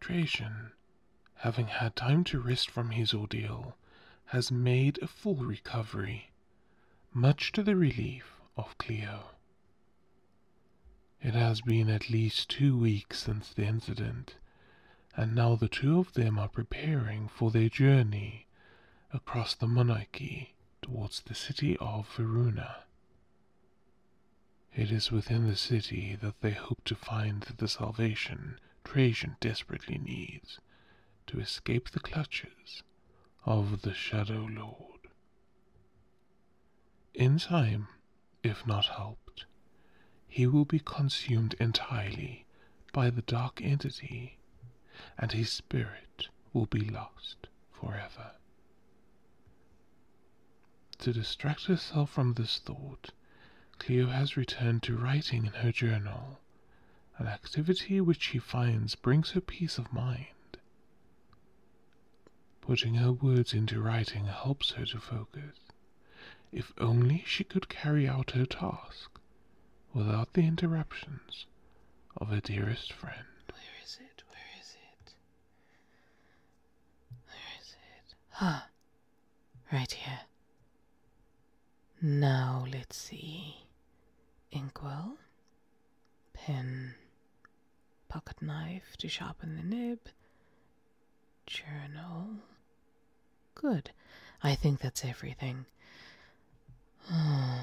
Trajan, having had time to rest from his ordeal, has made a full recovery, much to the relief of Clio. It has been at least two weeks since the incident, and now the two of them are preparing for their journey across the monarchy towards the city of Veruna. It is within the city that they hope to find the salvation Trajan desperately needs to escape the clutches of the Shadow Lord. In time, if not helped, he will be consumed entirely by the dark entity, and his spirit will be lost forever. To distract herself from this thought, Cleo has returned to writing in her journal, an activity which she finds brings her peace of mind. Putting her words into writing helps her to focus. If only she could carry out her task without the interruptions of her dearest friend. Where is it? Where is it? Ah, right here. Now let's see. Inkwell, pen, pocket knife to sharpen the nib, journal. Good. I think that's everything. Hmm.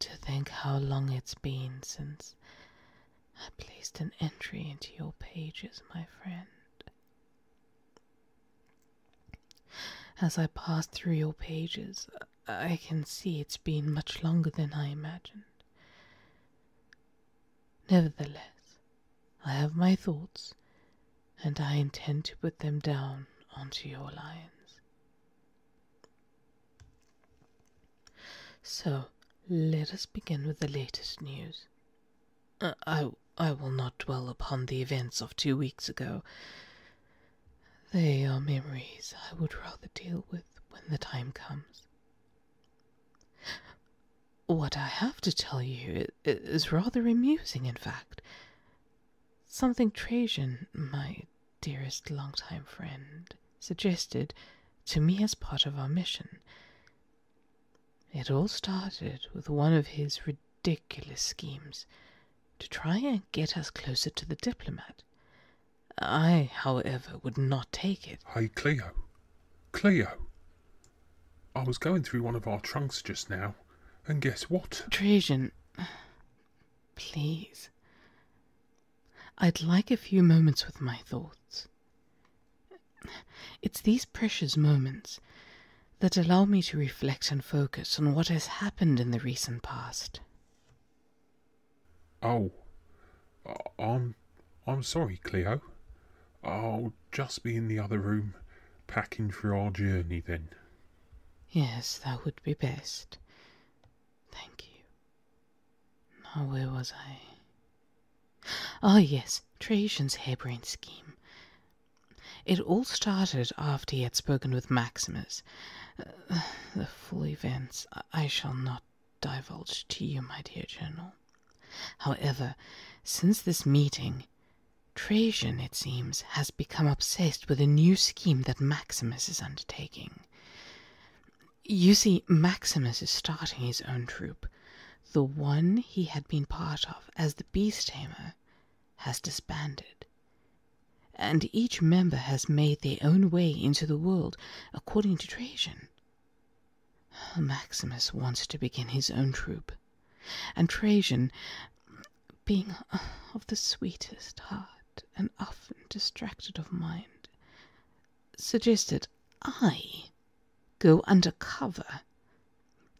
To think how long it's been since I placed an entry into your pages, my friend. As I pass through your pages, I can see it's been much longer than I imagined. Nevertheless, I have my thoughts, and I intend to put them down onto your lines. So, let us begin with the latest news. Uh, I, I will not dwell upon the events of two weeks ago. They are memories I would rather deal with when the time comes. What I have to tell you is rather amusing, in fact. Something Trajan might dearest long-time friend suggested to me as part of our mission. It all started with one of his ridiculous schemes to try and get us closer to the diplomat. I, however, would not take it. Hey, Cleo. Cleo. I was going through one of our trunks just now, and guess what? Trajan, please. I'd like a few moments with my thoughts. It's these precious moments that allow me to reflect and focus on what has happened in the recent past. Oh, uh, I'm, I'm sorry, Clio. I'll just be in the other room packing for our journey then. Yes, that would be best. Thank you. Now, where was I? Ah, yes, Trajan's harebrained scheme. It all started after he had spoken with Maximus. Uh, the full events I shall not divulge to you, my dear General. However, since this meeting, Trajan, it seems, has become obsessed with a new scheme that Maximus is undertaking. You see, Maximus is starting his own troop. The one he had been part of as the beast tamer has disbanded. And each member has made their own way into the world according to Trajan. Maximus wants to begin his own troop, and Trajan, being of the sweetest heart, and often distracted of mind, suggested I go under cover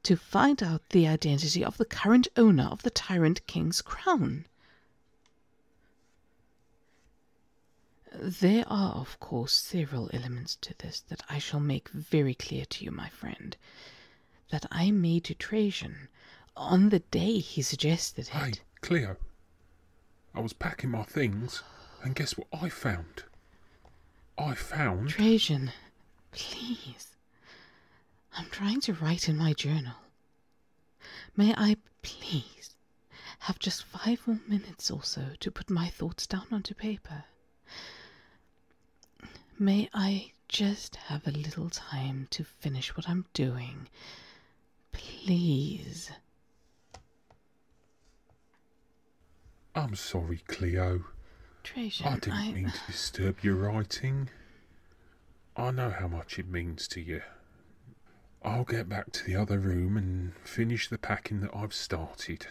to find out the identity of the current owner of the tyrant king's crown. There are, of course, several elements to this that I shall make very clear to you, my friend, that I made to Trajan on the day he suggested it. Hey, Cleo, I was packing my things, and guess what I found? I found. Trajan, please. I'm trying to write in my journal. May I please have just five more minutes or so to put my thoughts down onto paper? May I just have a little time to finish what I'm doing Please. I'm sorry, Cleo. Treasure, I didn't mean to disturb your writing. I know how much it means to you. I'll get back to the other room and finish the packing that I've started.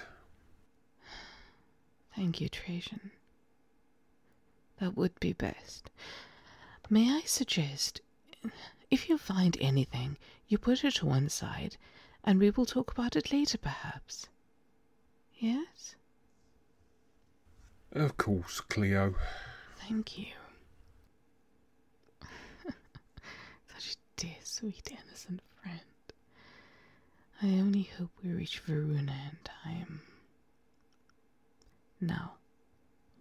Thank you, Trajan. That would be best. May I suggest if you find anything, you put it to one side, and we will talk about it later, perhaps. Yes? Of course, Clio. Thank you. Such a dear, sweet, innocent friend. I only hope we reach Verona in time. Now,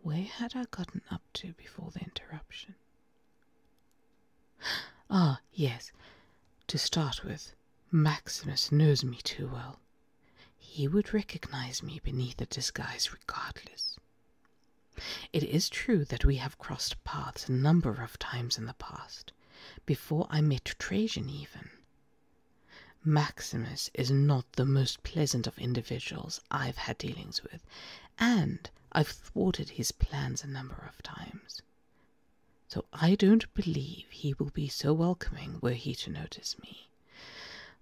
where had I gotten up to before the interruption? Ah, yes. To start with, Maximus knows me too well. He would recognize me beneath a disguise regardless. It is true that we have crossed paths a number of times in the past, before I met Trajan even. Maximus is not the most pleasant of individuals I've had dealings with, and I've thwarted his plans a number of times. So I don't believe he will be so welcoming were he to notice me.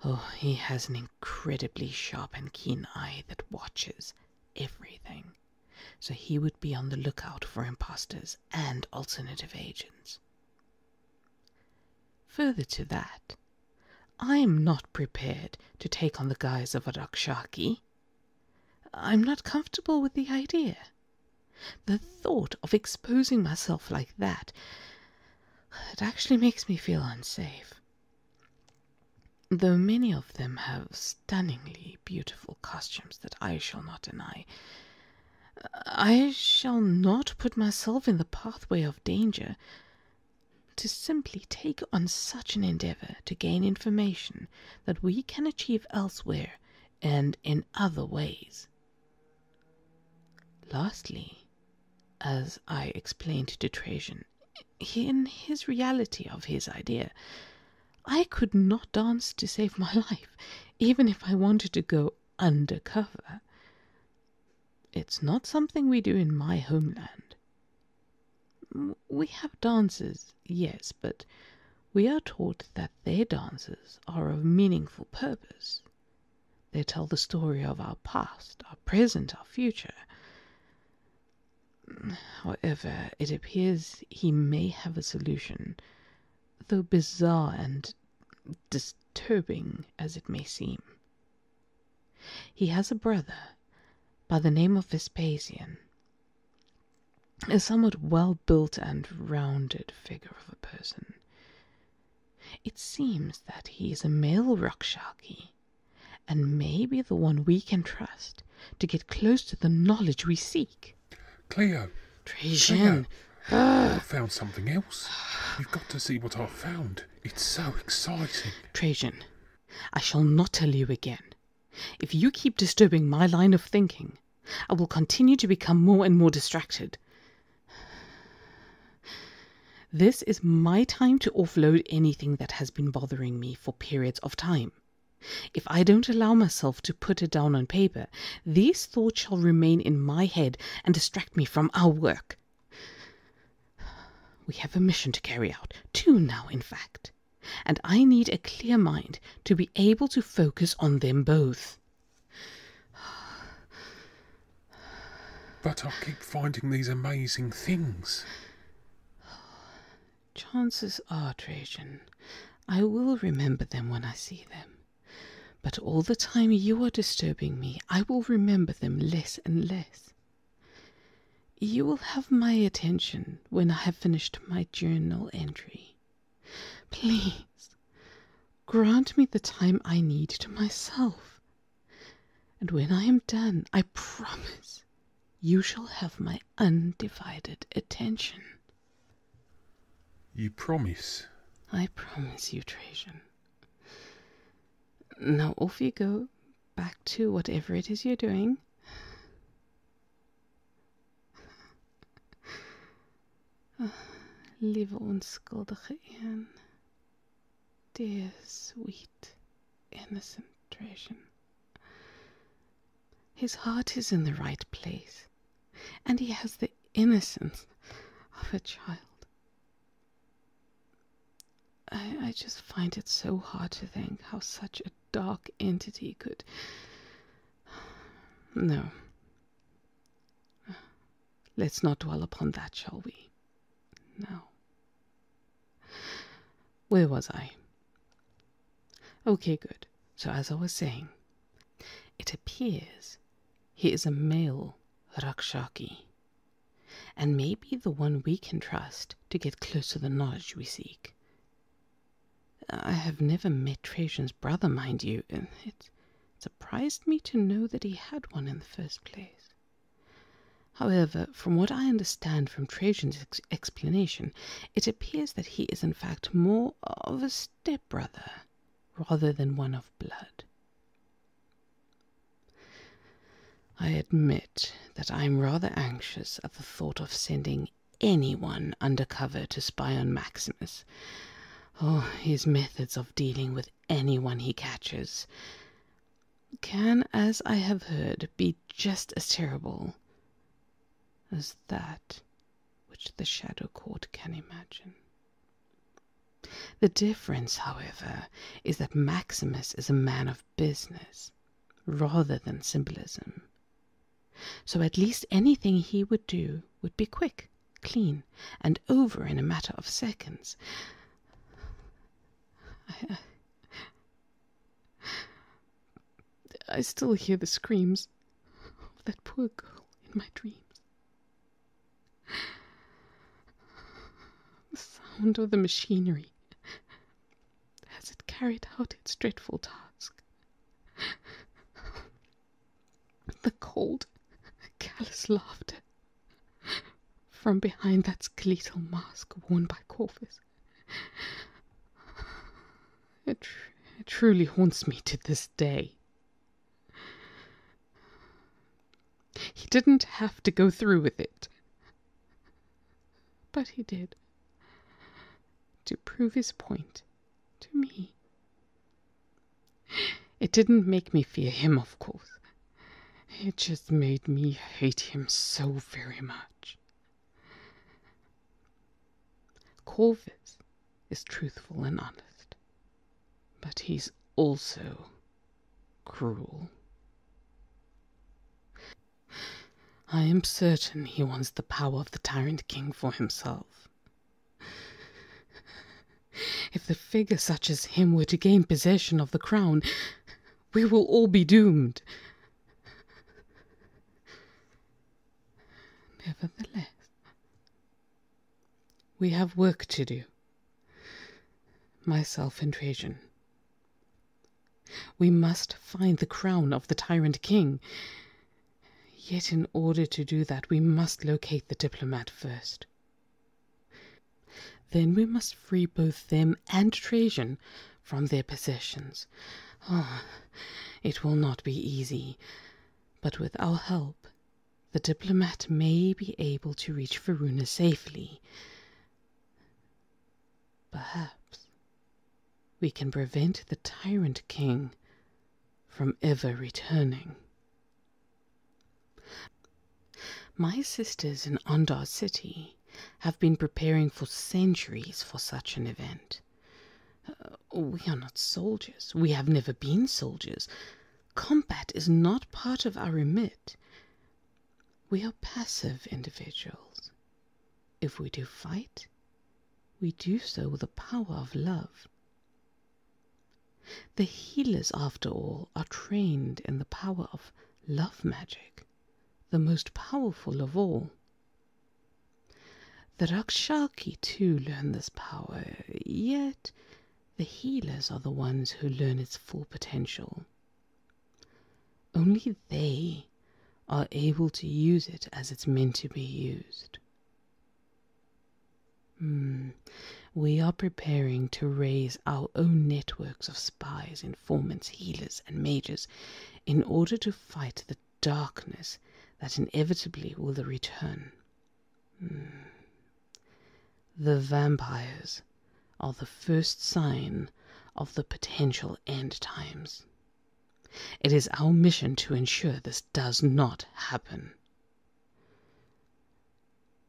Oh, he has an incredibly sharp and keen eye that watches everything. So he would be on the lookout for impostors and alternative agents. Further to that, I am not prepared to take on the guise of a Rakshaki. I am not comfortable with the idea. The thought of exposing myself like that it actually makes me feel unsafe. Though many of them have stunningly beautiful costumes that I shall not deny, I shall not put myself in the pathway of danger to simply take on such an endeavor to gain information that we can achieve elsewhere and in other ways. Lastly, as I explained to Trajan, in his reality of his idea, I could not dance to save my life, even if I wanted to go undercover. It's not something we do in my homeland. We have dances, yes, but we are taught that their dances are of meaningful purpose. They tell the story of our past, our present, our future. However, it appears he may have a solution, though bizarre and disturbing as it may seem. He has a brother by the name of Vespasian, a somewhat well built and rounded figure of a person. It seems that he is a male rocksharky, and may be the one we can trust to get close to the knowledge we seek. Cleo! Trajan! I've found something else. You've got to see what I've found. It's so exciting. Trajan, I shall not tell you again. If you keep disturbing my line of thinking, I will continue to become more and more distracted. This is my time to offload anything that has been bothering me for periods of time. If I don't allow myself to put it down on paper, these thoughts shall remain in my head and distract me from our work. We have a mission to carry out, two now, in fact, and I need a clear mind to be able to focus on them both. But I keep finding these amazing things. Chances are, Trajan, I will remember them when I see them. But all the time you are disturbing me, I will remember them less and less. You will have my attention when I have finished my journal entry. Please grant me the time I need to myself. And when I am done, I promise you shall have my undivided attention. You promise? I promise you, Trajan. Now off you go back to whatever it is you're doing. Lieve onschuldige Anne. Dear, sweet, innocent Trajan. His heart is in the right place, and he has the innocence of a child. I, just find it so hard to think how such a dark entity could. No. Let's not dwell upon that, shall we? No. Where was I? Okay, good. So, as I was saying, it appears he is a male Rakshaki and may be the one we can trust to get close to the knowledge we seek. I have never met Trajan's brother, mind you, and it surprised me to know that he had one in the first place. However, from what I understand from Trajan's explanation, it appears that he is in fact more of a stepbrother rather than one of blood. I admit that I'm rather anxious at the thought of sending anyone undercover to spy on Maximus. Oh, his methods of dealing with anyone he catches can, as I have heard, be just as terrible as that which the Shadow Court can imagine. The difference, however, is that Maximus is a man of business rather than symbolism. So at least anything he would do would be quick, clean, and over in a matter of seconds. I, still hear the screams of that poor girl in my dreams. The sound of the machinery has it carried out its dreadful task? the cold, callous laughter from behind that skeletal mask worn by Corvus. It, truly haunts me to this day. He didn't have to go through with it. But he did. To prove his point to me. It didn't make me fear him, of course. It just made me hate him so very much. Corvus is truthful and honest, but he's also cruel. I am certain he wants the power of the tyrant king for himself. If the figure such as him were to gain possession of the crown, we will all be doomed. Nevertheless, we have work to do, myself and Trajan. We must find the crown of the tyrant king. Yet, in order to do that, we must locate the diplomat first. Then we must free both them and Trajan from their possessions. Ah, it will not be easy, but with our help, the diplomat may be able to reach Verona safely. Perhaps we can prevent the tyrant king from ever returning. My sisters in Andar City have been preparing for centuries for such an event. Uh, we are not soldiers. We have never been soldiers. Combat is not part of our remit. We are passive individuals. If we do fight, we do so with the power of love. The healers, after all, are trained in the power of love magic, the most powerful of all. The Rakshaki too learn this power, yet the healers are the ones who learn its full potential. Only they are able to use it as it's meant to be used. Hmm. We are preparing to raise our own networks of spies, informants, healers, and mages in order to fight the darkness that inevitably will return. Hmm. The vampires are the first sign of the potential end times. It is our mission to ensure this does not happen.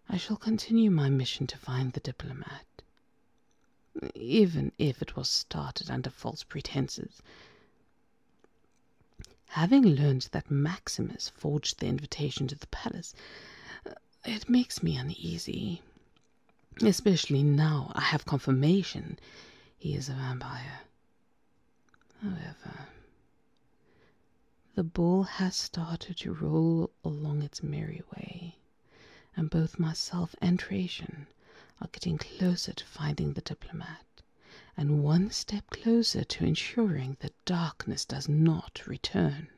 I shall continue my mission to find the diplomat, even if it was started under false pretenses. Having learned that Maximus forged the invitation to the palace, it makes me uneasy. Especially now I have confirmation he is a vampire. However, the ball has started to roll along its merry way, and both myself and Trajan are getting closer to finding the diplomat, and one step closer to ensuring that darkness does not return.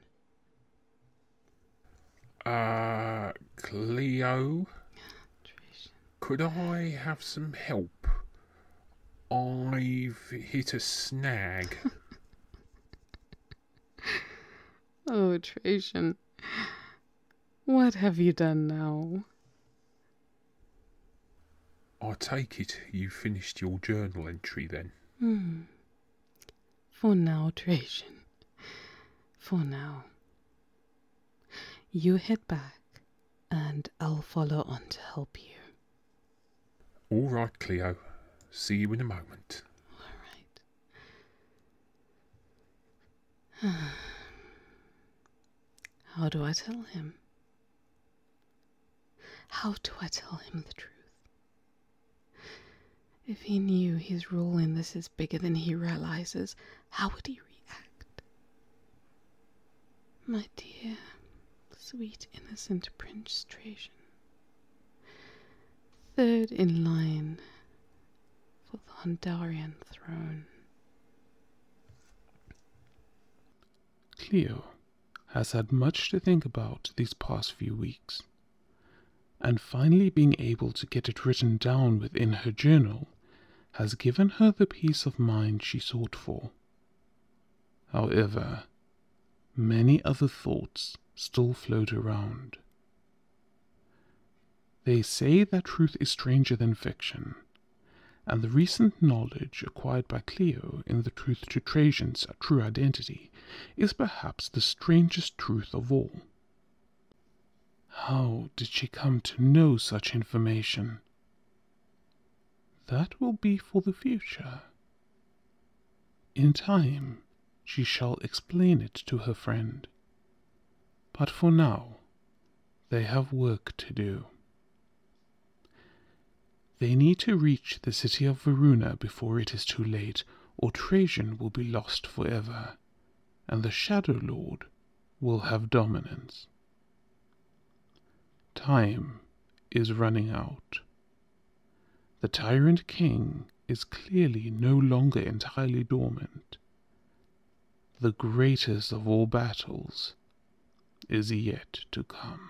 Uh, Cleo, could I have some help? I've hit a snag. oh, Trajan, what have you done now? I take it you finished your journal entry then. Hmm. For now, Trajan. For now. You head back, and I'll follow on to help you. All right, Cleo. See you in a moment. All right. How do I tell him? How do I tell him the truth? If he knew his role in this is bigger than he realizes, how would he react? My dear, sweet, innocent Prince Trajan, third in line for the Hondarian throne. Cleo has had much to think about these past few weeks and finally being able to get it written down within her journal has given her the peace of mind she sought for. However, many other thoughts still float around. They say that truth is stranger than fiction, and the recent knowledge acquired by Clio in the Truth to Trajan's True Identity is perhaps the strangest truth of all. How did she come to know such information? That will be for the future. In time, she shall explain it to her friend. But for now, they have work to do. They need to reach the city of Varuna before it is too late, or Trajan will be lost forever and the Shadow Lord will have dominance. Time is running out. The Tyrant King is clearly no longer entirely dormant. The greatest of all battles is yet to come.